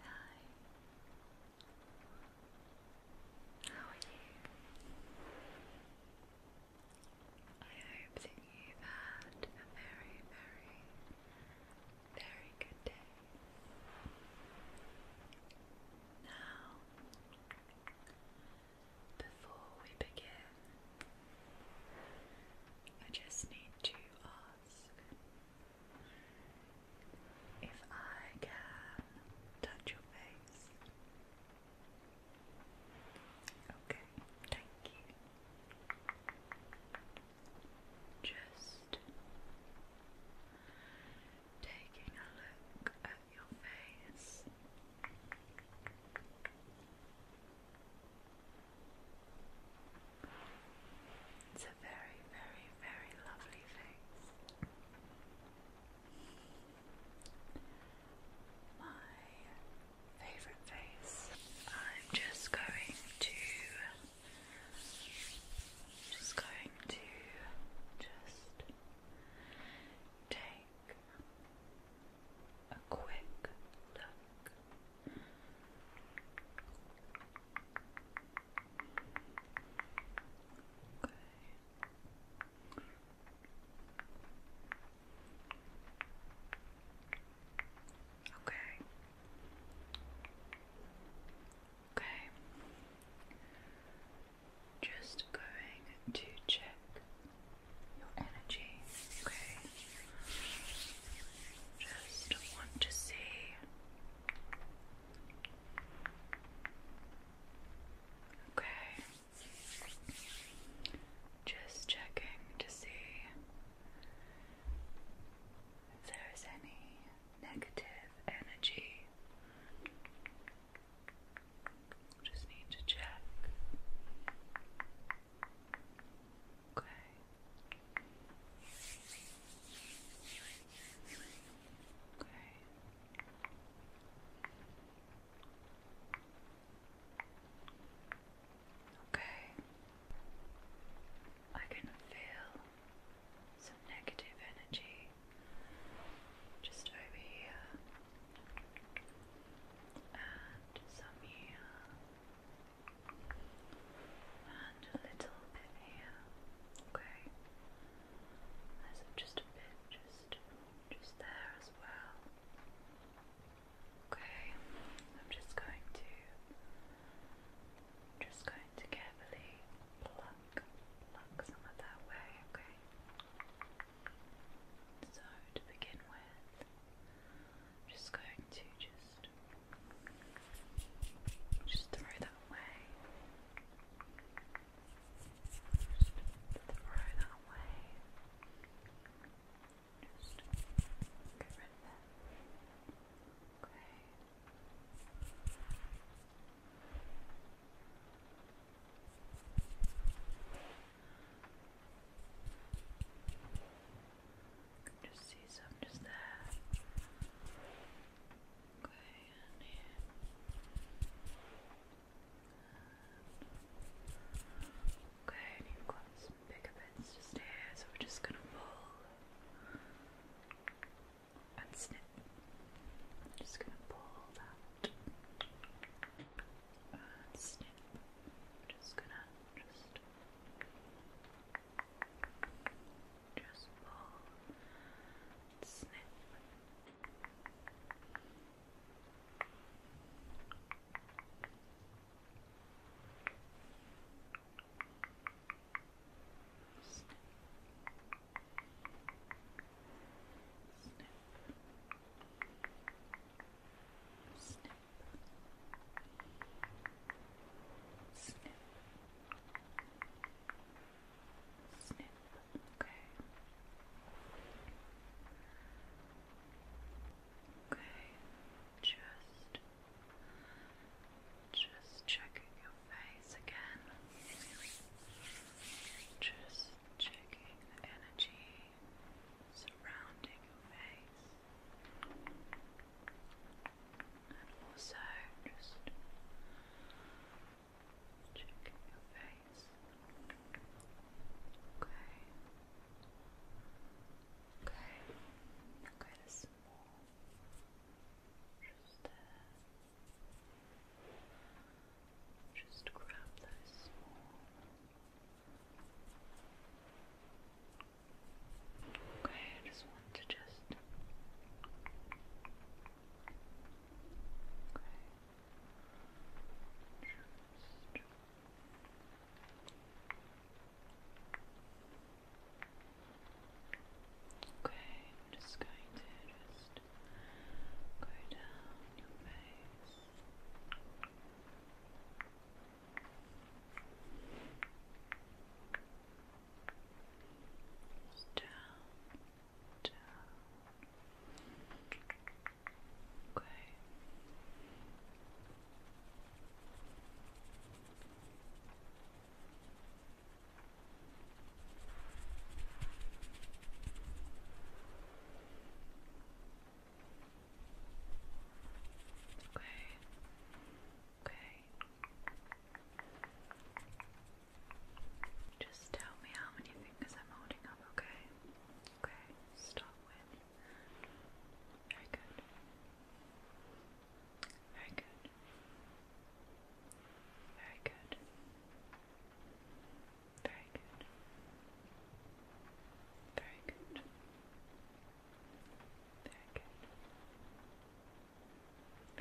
Hi. How are you? I hope that you had a very, very, very good day. Now, before we begin, I just need to ask if I can touch your face. Okay, thank you. Just taking a look at your face. It's a very, very, very lovely face. My favorite face. I'm just going to just going to just take a quick look Okay. Okay. Okay. Just going to check your energy. Okay. Just want to see. Okay. Just checking to see if there is any negative energy. Just need to check. Okay. Okay. Okay. I can feel some negative energy just over here and some here and a little bit here. Okay. There's just a bit just just there as well. Okay. I'm just going to just going to carefully pluck pluck some of that way, okay? So to begin with, I'm just going to just just throw that away. Just throw that away. Just get rid of that. Okay just see some just there. Okay, and here. okay, and you some bigger bits just here, so we're just gonna pull and snip. just gonna pull that and snip. just gonna just just pull and snip. Snip. Snip. Snip. Snip. Snip. Snip. Okay. Okay. Just just checking your face again. Just checking the energy surrounding your face. And also just checking your face. Okay. Okay. Okay, there's some Just there. Uh, just grab those small. Okay, I just want to just. Okay. I'm just going to just go down your face down, down. Okay. Okay. Okay. Just tell me how many fingers I'm holding up, okay? Okay, start with. Very good. Very good. Very good. Very good. Very good. Very good.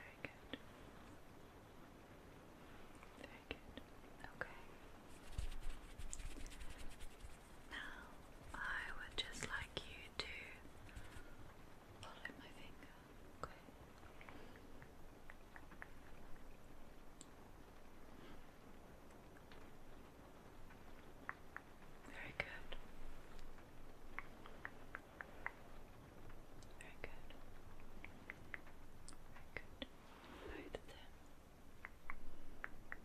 Very good. Very good. Okay. Now, I would just like you to follow my finger. Okay. Very good. Very good. Very good. Right there. Okay.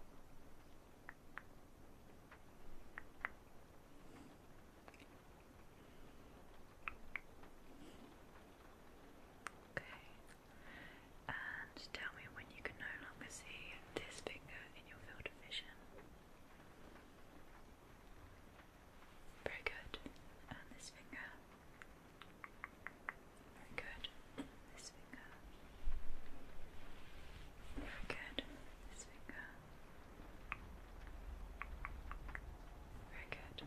And tell me when you can no longer see this finger in your field of vision. Very good. this finger. Very good. This finger. Very good. This finger. Very good.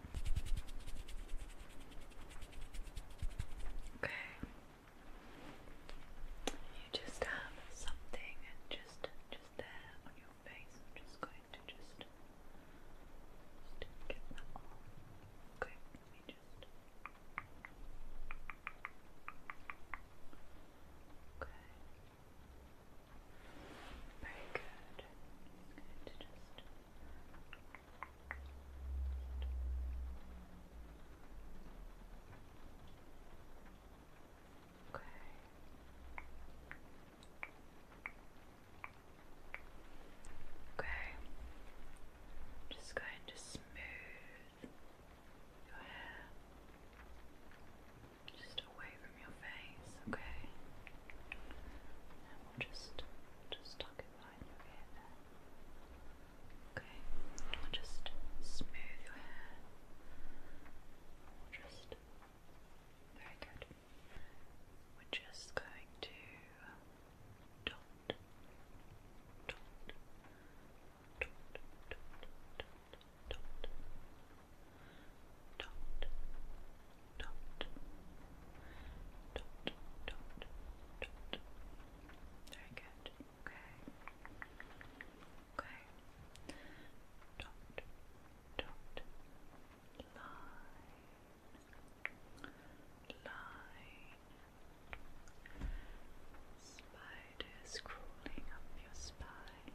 Okay. You just have something and just just there on your face. just going to just, get that off. Okay, let just. Okay. Very good. going to just. Okay. Okay. just going to smooth your hair just away from your face, okay? And we'll just just tuck it behind your ear Okay. We'll just smooth your hair. Very good. We're just going to dot, dot, dot, dot, dot, dot, dot, dot, dot, dot, dot. Very good. Okay. Okay dot, dot, line, line, spiders crawling up your spine.